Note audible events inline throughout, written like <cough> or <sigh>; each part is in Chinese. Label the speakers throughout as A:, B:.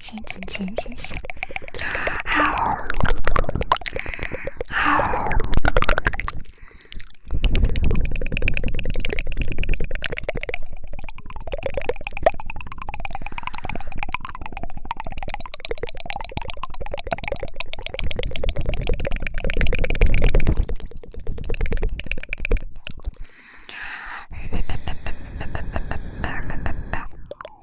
A: 先吃钱，谢谢。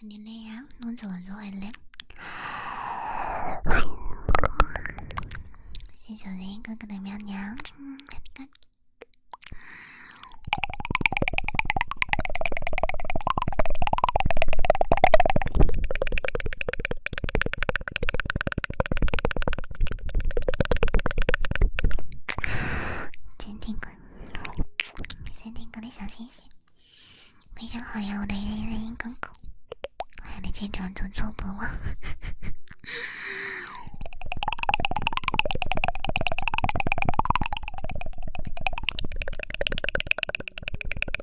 A: 肯定累呀，弄久了就会累。谢谢人哥哥的喵喵。先点个，先点个点小星星。晚上好呀，我的雷雷哥哥，欢迎你，经常做错不忘。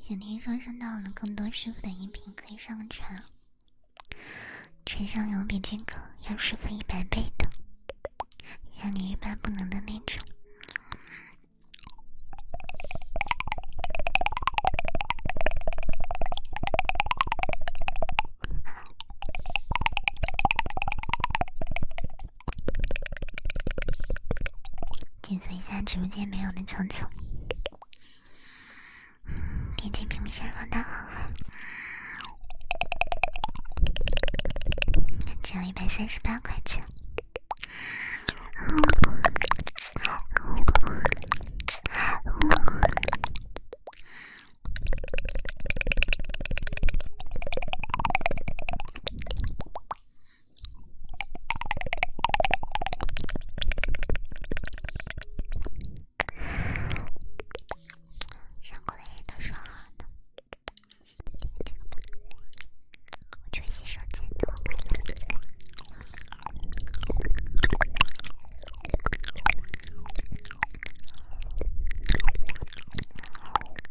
A: 想 <sighs> 听说收到更多师傅的音频，可以上传。陈香油比这个要师傅一百倍的，让你欲罢不能的那种。解锁一下直播间没有的成就，点击屏幕放大看看。只要一百三十八块钱。上过的人都说好的。我去洗手间。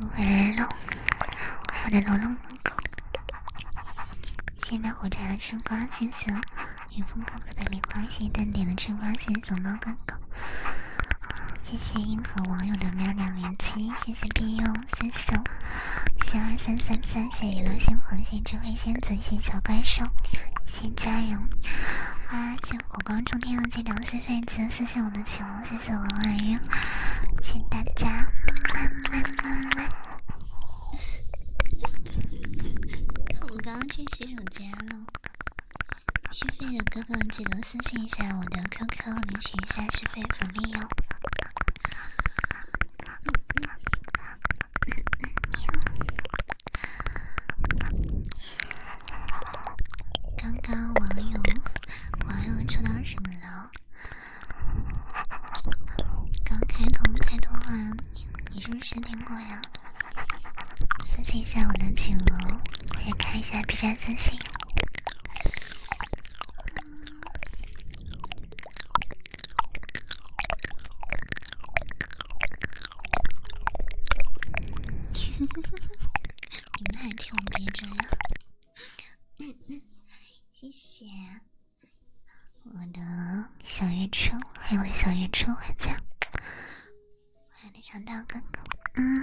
B: 我流浪，
A: 我有点流浪了。谢谢卖火柴的春瓜先生，云峰哥哥的磷光鞋，淡点的春瓜鞋，熊猫哥哥。谢谢银河网友的喵两连击，谢谢 BU 三小，谢二三三三，谢谢流星红星智慧仙子，谢谢小怪兽。新家人，欢迎进火光冲天，要进粮食费，请私信我的群，谢谢我婉月，请大家。我刚刚去洗手间了，续费的哥哥记得私信一下我的 QQ 领取一下续费福利哟。
B: 刚刚网友网友抽到什么了？刚
A: 开头开头啊，你你是不是失听过呀？私信一下我的企鹅，或者看一下 B 站私信。你们还调皮着呀？谢谢我的小月初，还有我的小月初回还有我的小刀哥哥。嗯。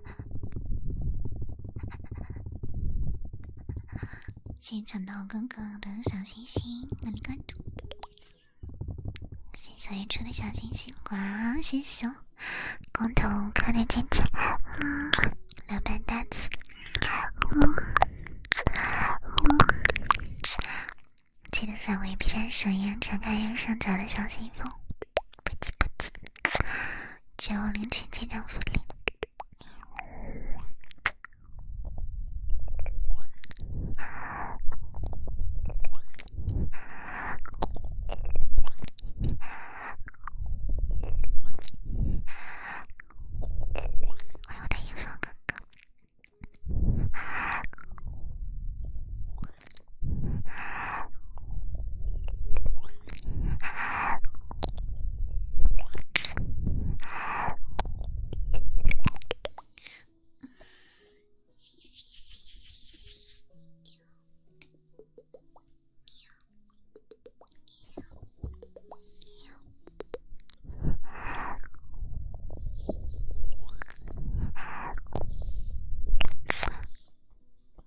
A: 谢谢长豆哥哥的小星星，点关注。谢谢小月初的小星星，哇，谢谢哦！光头，快点进来，两遍单嗯，记得返回 B 站首页，查看右上角的小星星。不急不急，九零群家长福利。哎呦，我的音乐哥哥！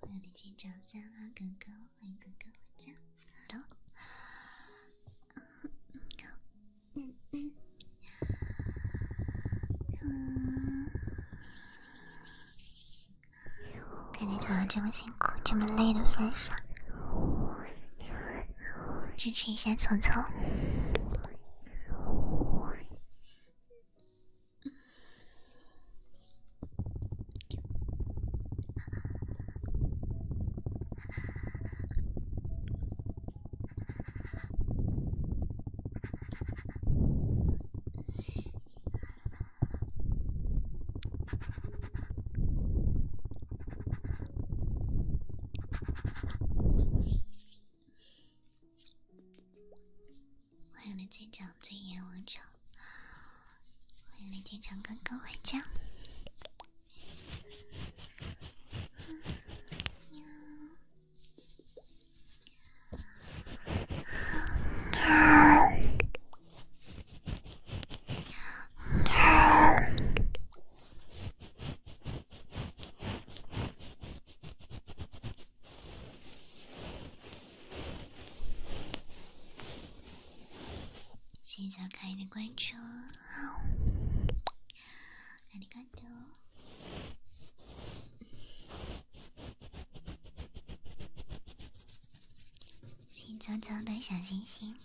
A: 那你去找三阿哥。欢迎哥哥回家，走。嗯嗯嗯，嗯。在你这么辛苦、这么累的份上，支持一下聪聪。欢迎你舰长，尊严王朝。我迎林天成哥哥回家。谢谢小可爱的关注，谢谢小娇的小星星，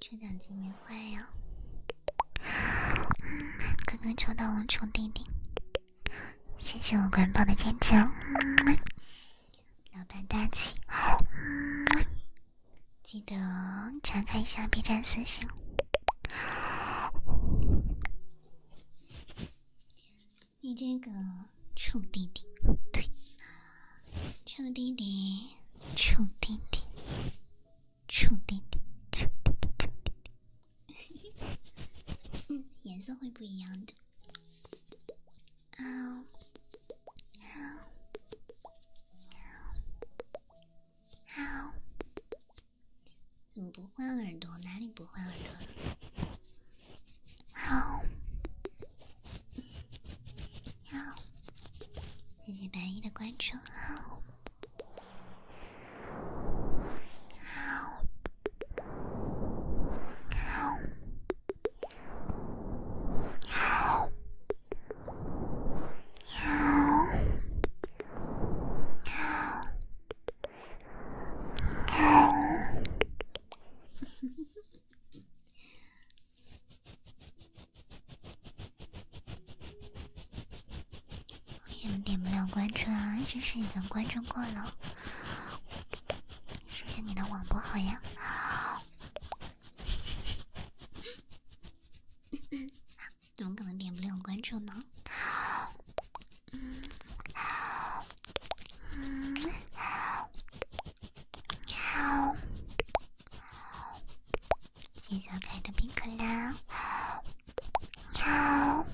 A: 抽奖金没坏呀，哥哥抽到我，抽弟弟，谢谢我官方的坚持。老板大气，记得查看一下 B 站私信。你这个臭弟弟，对，臭弟弟，臭弟弟，臭弟弟，臭弟弟，臭弟弟，嗯，颜色会不一样的。好，
B: 好，
A: 好，好，怎么不换耳朵？哪里不换耳朵了？好，好，谢谢白衣的关注。好，好，好。<laughs> 也点不了关注啊，这是已经关注过了。说下你的网不好呀？<laughs> 怎么可能点不了关注
B: 呢？嗯，嗯，好，
A: 谢谢可爱的冰可乐。好，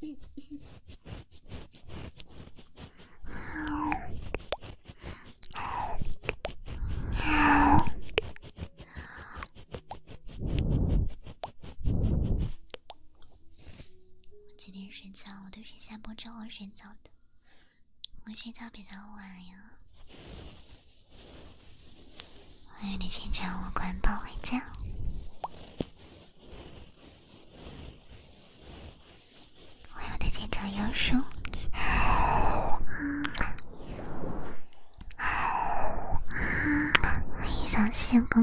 A: 嗯嗯。我今天睡觉，我都是下播之后睡觉的。我睡觉比较晚呀。欢迎你清晨我关播回家。我有的见招有术，嗯，欢迎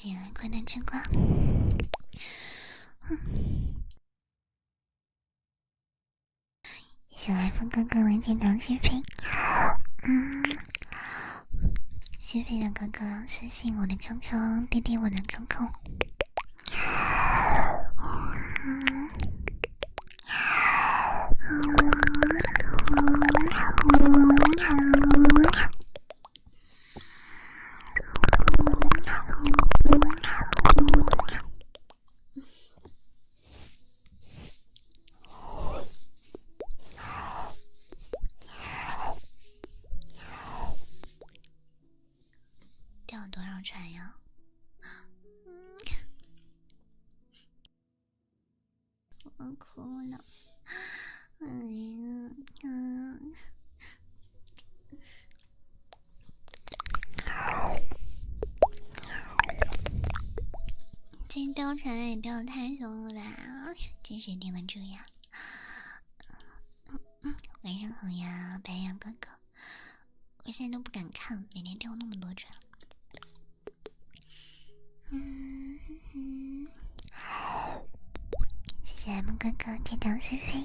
A: 喜爱困难之光。小台风哥哥能经常续费，嗯，续费的哥哥私信我的 QQ，滴滴我的 QQ。钓多少船哭了，
B: 哎呀！
A: 这貂蝉也掉太凶了吧？这谁顶得住呀？晚上好呀，白羊哥哥，我现在都不敢看，每天掉那么多砖。嗯嗯，谢谢 M 哥哥的天施肥。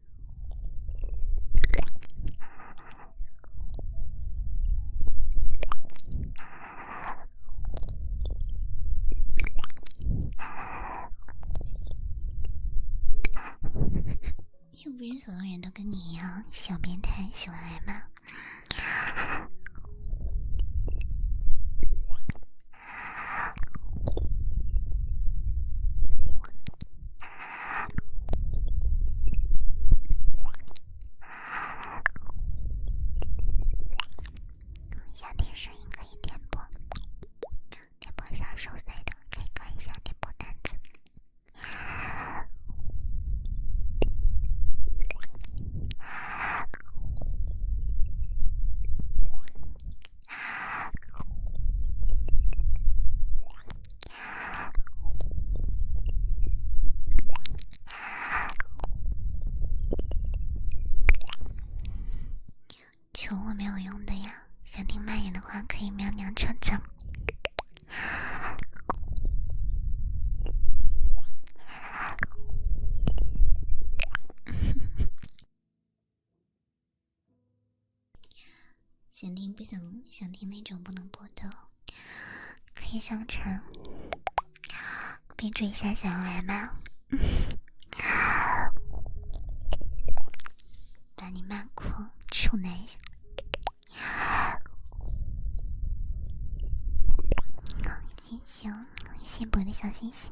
A: 又不是所有人都跟你一样小变态，喜欢挨骂。想听声音可以点播，点播是收费的，可以看一下点播单子。求我没有用的呀，想听骂人的话可以喵喵唱子。想听不想？想听那种不能播的，可以上传。备注一下想要爱吗？那你骂哭，臭男人。小星星，感谢我的小星星。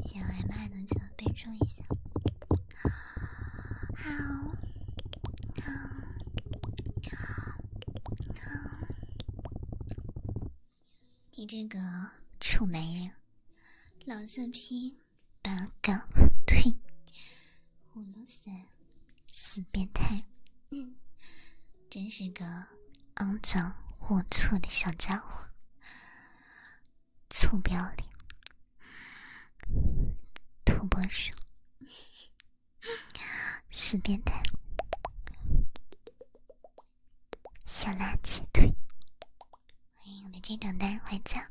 A: 想挨骂的，请备注一下。好，好，好，好！你这个臭男人，老色批，八嘎！退！我老三，死变态！嗯，真是个肮脏龌龊的小家伙。臭不要脸，土拨鼠，死变态，小垃圾，退！欢迎我的家长大人回家。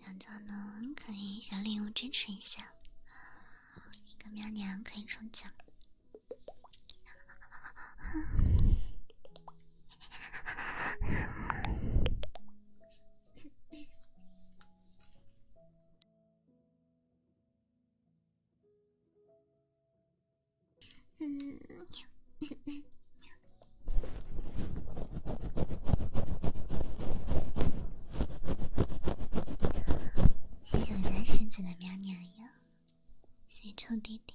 A: 想做呢，可以小礼物支持一下，一个喵娘可以抽奖。嗯。<laughs> 谢谢男神，亲爱的喵喵哟，谢谢臭弟弟。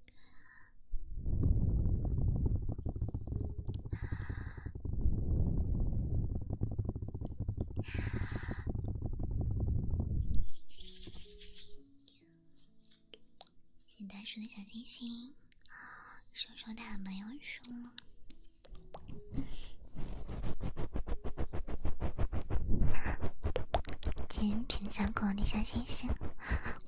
A: 谢大叔的小星星，收收他的朋友数，精品小狗的小星星。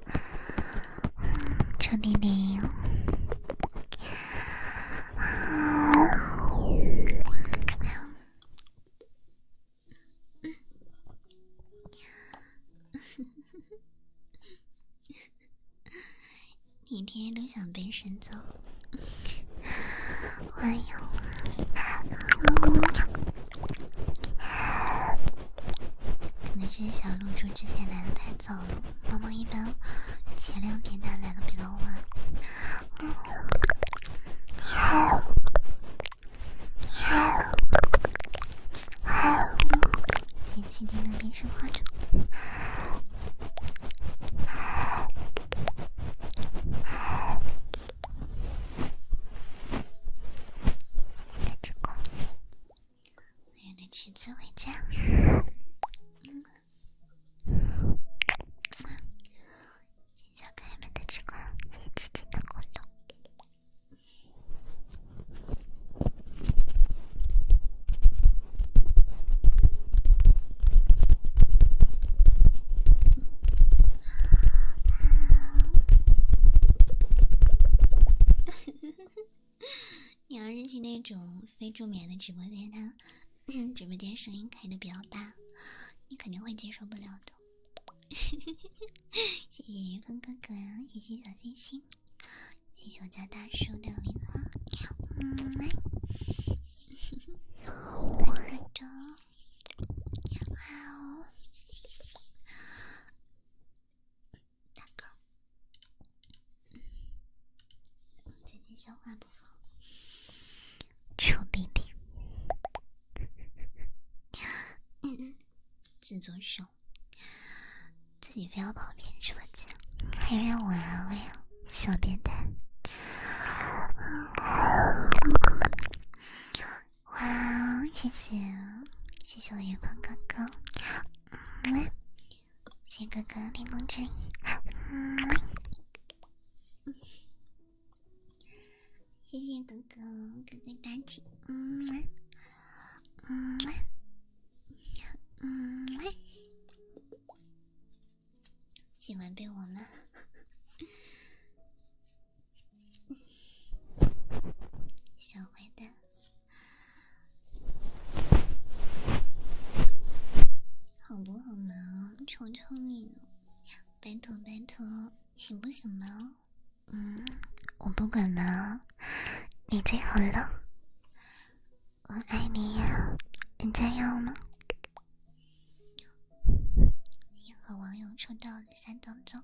B: 嗯，臭弟弟哟！
A: 你天天都想被神揍？哎呦，可能是小露珠之前来的太。早了，妈妈一般前两天她来的比较晚。好，好，好，的变身化妆。还有那裙子回家。嗯，好，小可爱们的这个姐姐的互动。啊，<laughs> <laughs> 你要是去那种非助眠的直播间，他 <clears throat> 直播间声音开的比较大，你肯定会接受不了的。<laughs> 谢谢云峰哥哥呀，谢谢小星星，谢谢我家大叔的零花。来，哥哥粥，<laughs> 大哥，最近消化不好。臭弟弟，<laughs> 自作秀，自己非要跑别人直播间，还让我安慰，小变态。哇，谢谢，谢谢我云鹏哥哥，嗯。谢哥哥练功之引，嗯，<laughs> 谢谢哥哥哥哥大气，嗯嗯嗯喜欢被我吗？<laughs> 小坏蛋。好不好嘛？求求你，拜托拜托，行不行呢？嗯，我不管了，你最好了，我爱你呀！人家要吗？和网友出道的三张张。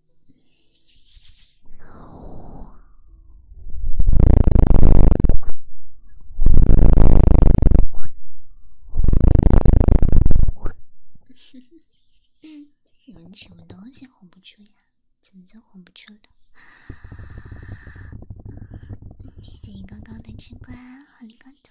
A: <laughs> 有什么东西哄不出呀？怎么就哄不出谢谢醒刚刚的吃瓜，很关注。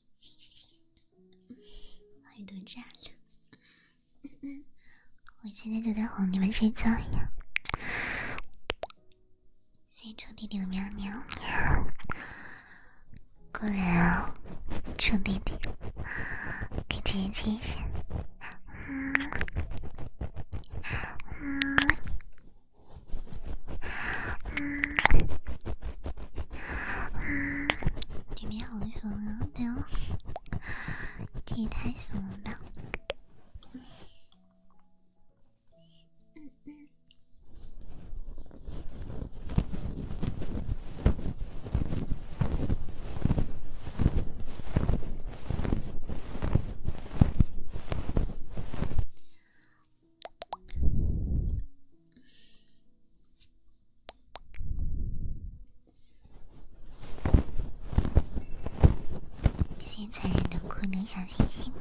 A: 欢迎毒渣！我现在就在哄你们睡觉呀。谢谢臭弟弟的喵喵。过来啊，臭弟弟，给姐姐亲一下。嗯。里面好爽啊！对啊，
B: 这也太爽了。
A: 先残忍的酷两小星星。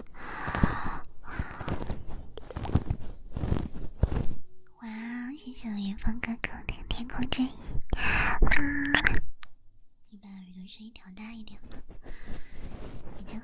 A: 哇，谢谢我元芳哥哥的天空之翼。你把耳朵声音调大一点吧。已经。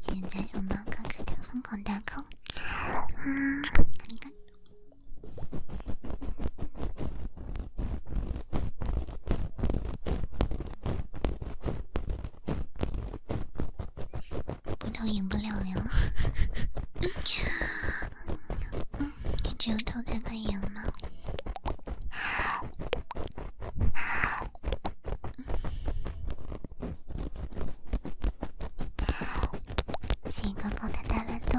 A: 现在想拿哥哥的疯狂蛋糕。不投赢不了呀，感觉有投才可以赢呢。请刚刚的大家都。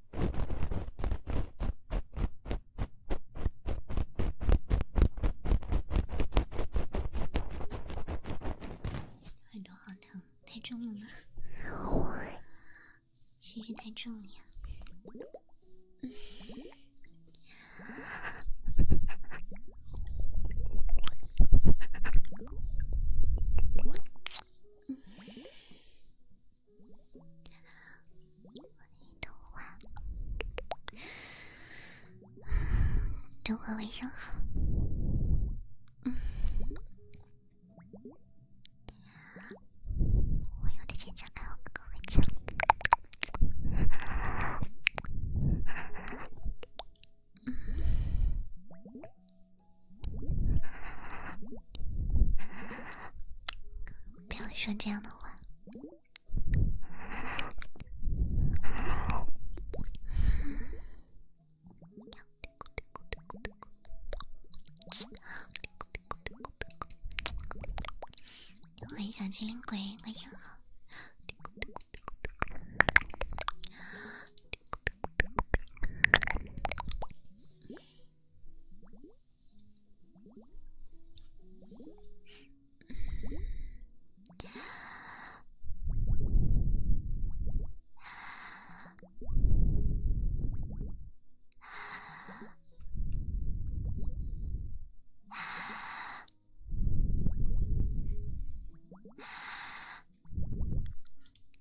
A: 耳朵好疼，太重了吗？是不是太重了呀？东华，东华，晚上好。嗯，我有的紧张，爱我哥哥会唱 <laughs> 不要说这样的话。欢迎小精灵鬼，晚上好。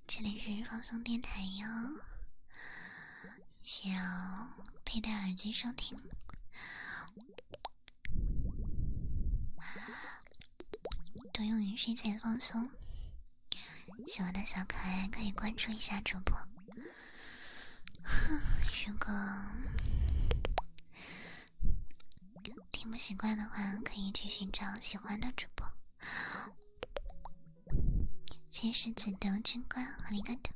A: 这里是放松电台哟。想要佩戴耳机收听，多用于睡前放松。喜欢的小可爱可以关注一下主播。<laughs> 如果听不习惯的话，可以去寻找喜欢的主播。天使子的贞观，我离干的。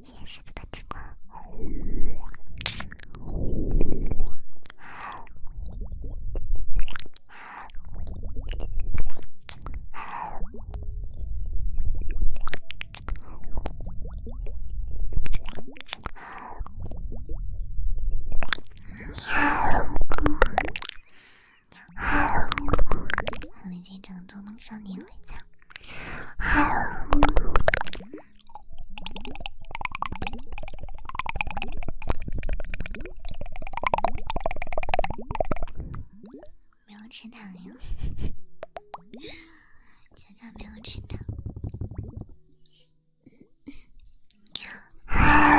A: 天使子的贞光。做梦少年会讲。没有吃糖哟，<laughs> 小乔没有吃糖。<laughs>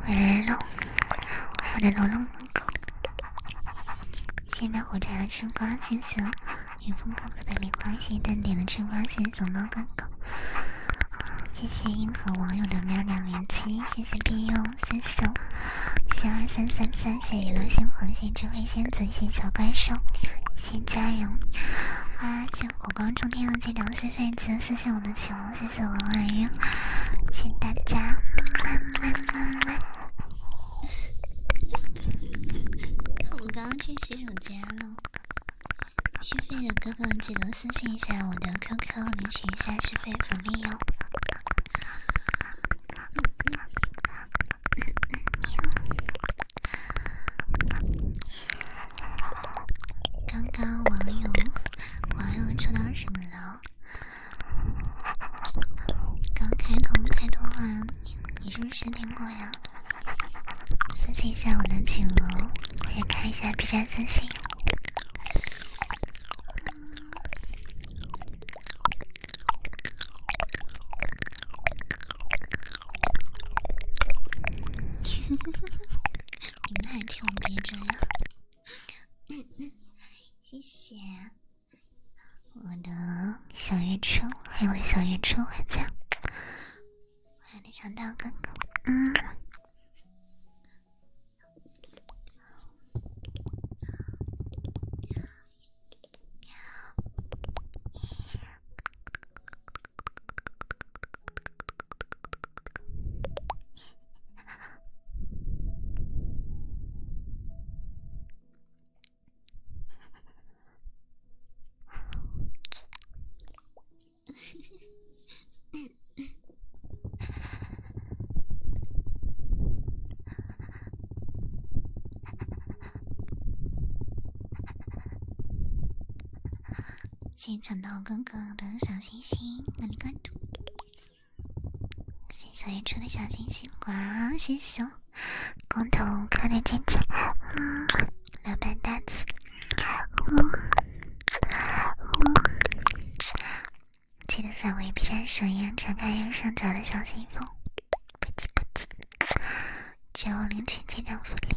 A: 我来了，我有点龙龙龙，下面我得要升格晋级了。云峰哥哥的棉花鞋，淡点的吃花鞋，左猫哥哥。谢谢银河网友的喵喵连七，谢谢 B u 三九，谢二三三三，谢一流星恒星，智慧仙子，谢小怪兽，谢家人，哇！谢火光冲天的站长续费金，谢谢我的球，谢谢王婉英，谢大家么么么么。我刚刚去洗手间了。续费的哥哥记得私信一下我的 QQ 领取一下续费福利哟。刚刚网友网友抽到什么了？刚开通开通啊，你是不是失听过呀？私信一下我的群哦，我也看一下 B 站私信。你们还听我 B 站呀？谢谢。我的小月初，还有我的小月初还在，我有那场大哥哥，嗯。谢谢长道哥哥的小星星，关注。谢谢小月初的小星星，哇，谢谢哦。共同看的精彩，两遍单词。记得返回 B 站首页，展开右上角的小信封，不急不急，就领取成长福利。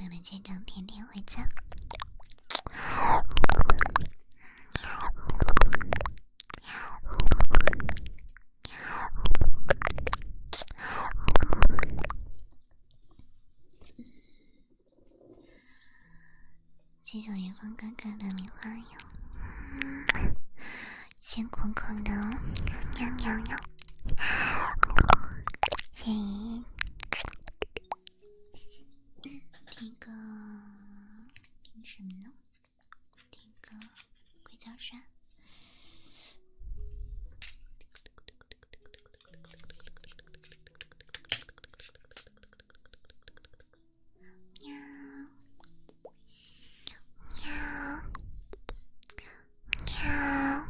A: 为了见证天天回家，谢谢元芳哥哥的棉花哟，辛苦苦的喵喵喵，谢谢。听个听什么呢？听个硅胶扇。喵喵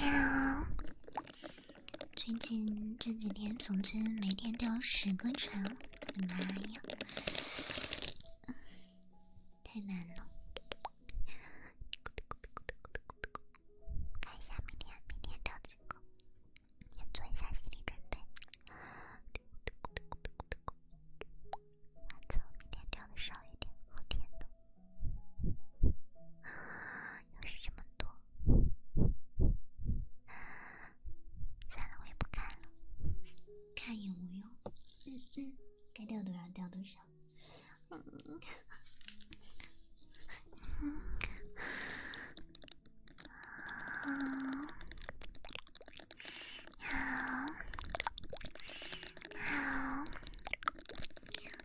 A: 喵喵。最近这几天，总之每天掉十个船，我的妈呀，太难了！看一下明天，明天掉几个？你做一下心理准备。完了，明天掉的少一点，后天。又是这么多，算了，我也不看了，看也无用。该掉多少掉多少。嗯。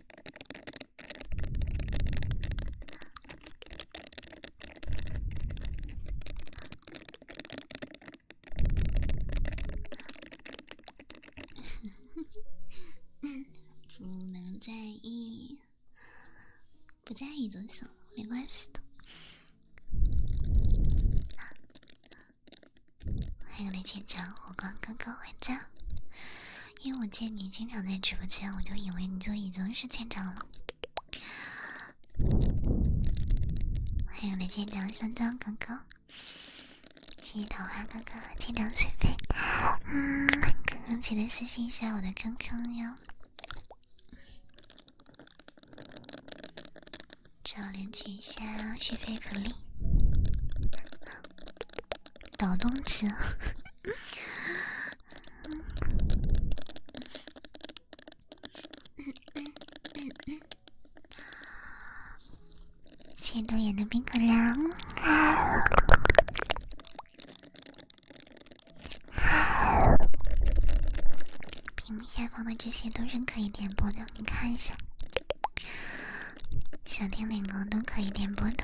A: <laughs> 不能在意，不在意就行，没关系的。<laughs> 还有那接场火光刚刚回家。因为我见你经常在直播间，我就以为你就已经是舰长了。欢迎来舰长香蕉哥哥，谢谢桃花哥哥舰长水杯。嗯，哥哥记得私信一下我的 QQ 哟。要领取一下续费福利，捣 <laughs> 动西。谢路演的冰可凉，屏幕下方的这些都是可以点播的，你看一下，想听哪个都可以点播的。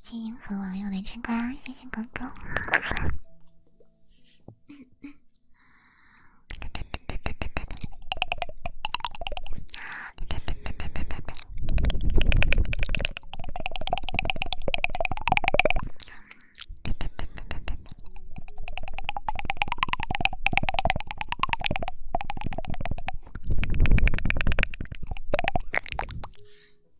A: 谢谢和网友的牵挂，谢谢哥哥。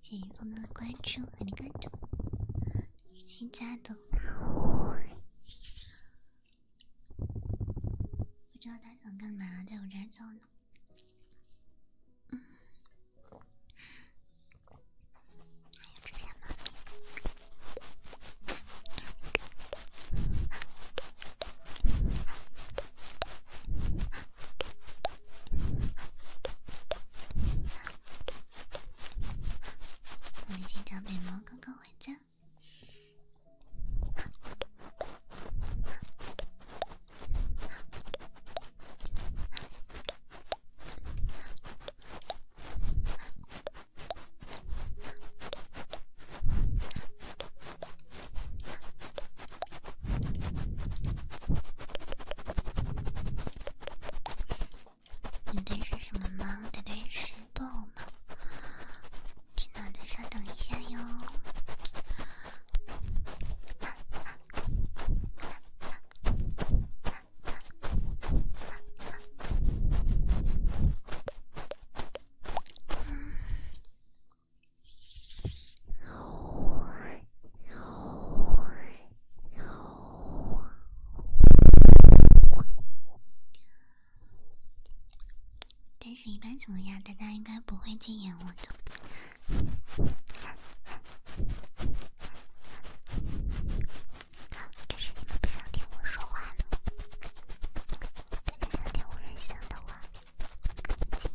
A: 谢谢朋友的关注和你关注，新加的，不知道他想干嘛，在我这儿叫呢。你今天没有刚刚回家。等待是什么吗？等待是暴吗？请脑子稍等一下哟。但是，一般怎么样？大家应该不会禁言我的。啊！这是你们不想听我说话呢？大家想听无人想的话，我看不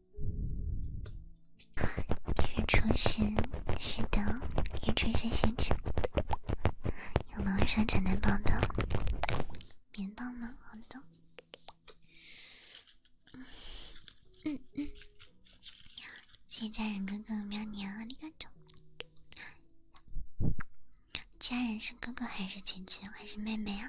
B: 日出是是的，日
A: 出是清晨。有猫生床奶宝的棉闹吗？好的。嗯嗯，谢谢家人哥哥喵娘，你干的。家人是哥哥还是姐姐还是妹妹啊？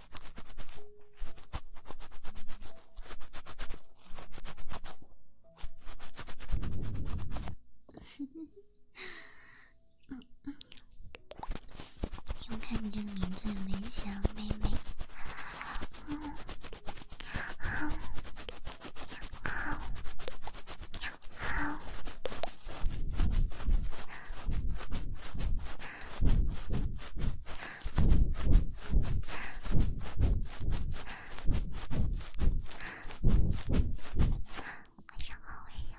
A: 又 <laughs> 看你这个名字，有点像妹妹。嗯，好，
B: 好，好。晚上好，温柔。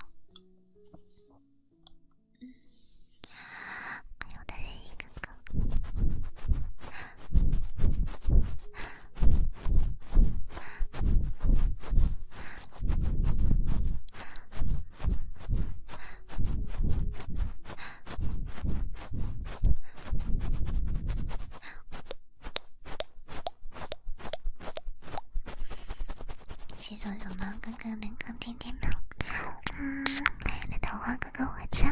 B: 嗯，还
A: 有的是一哥哥。洗澡小猫哥哥能听见吗？
B: 嗯，可
A: 爱的桃花哥哥回家。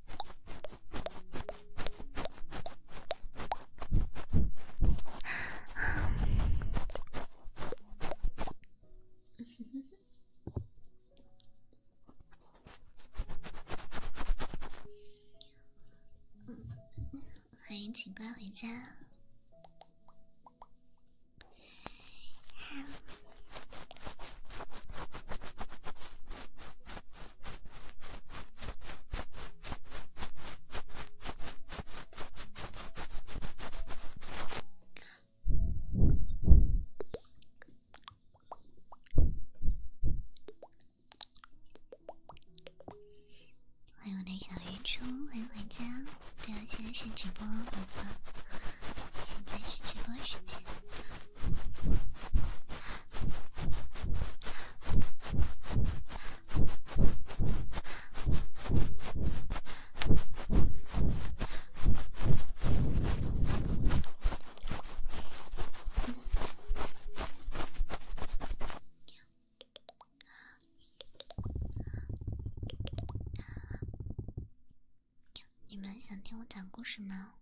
A: <laughs> 欢迎，请乖回家。欢迎我的小鱼虫，欢迎回家。对啊，现在是直播，宝宝，
B: 现在是直播时间。
A: 你们想听我讲故事吗？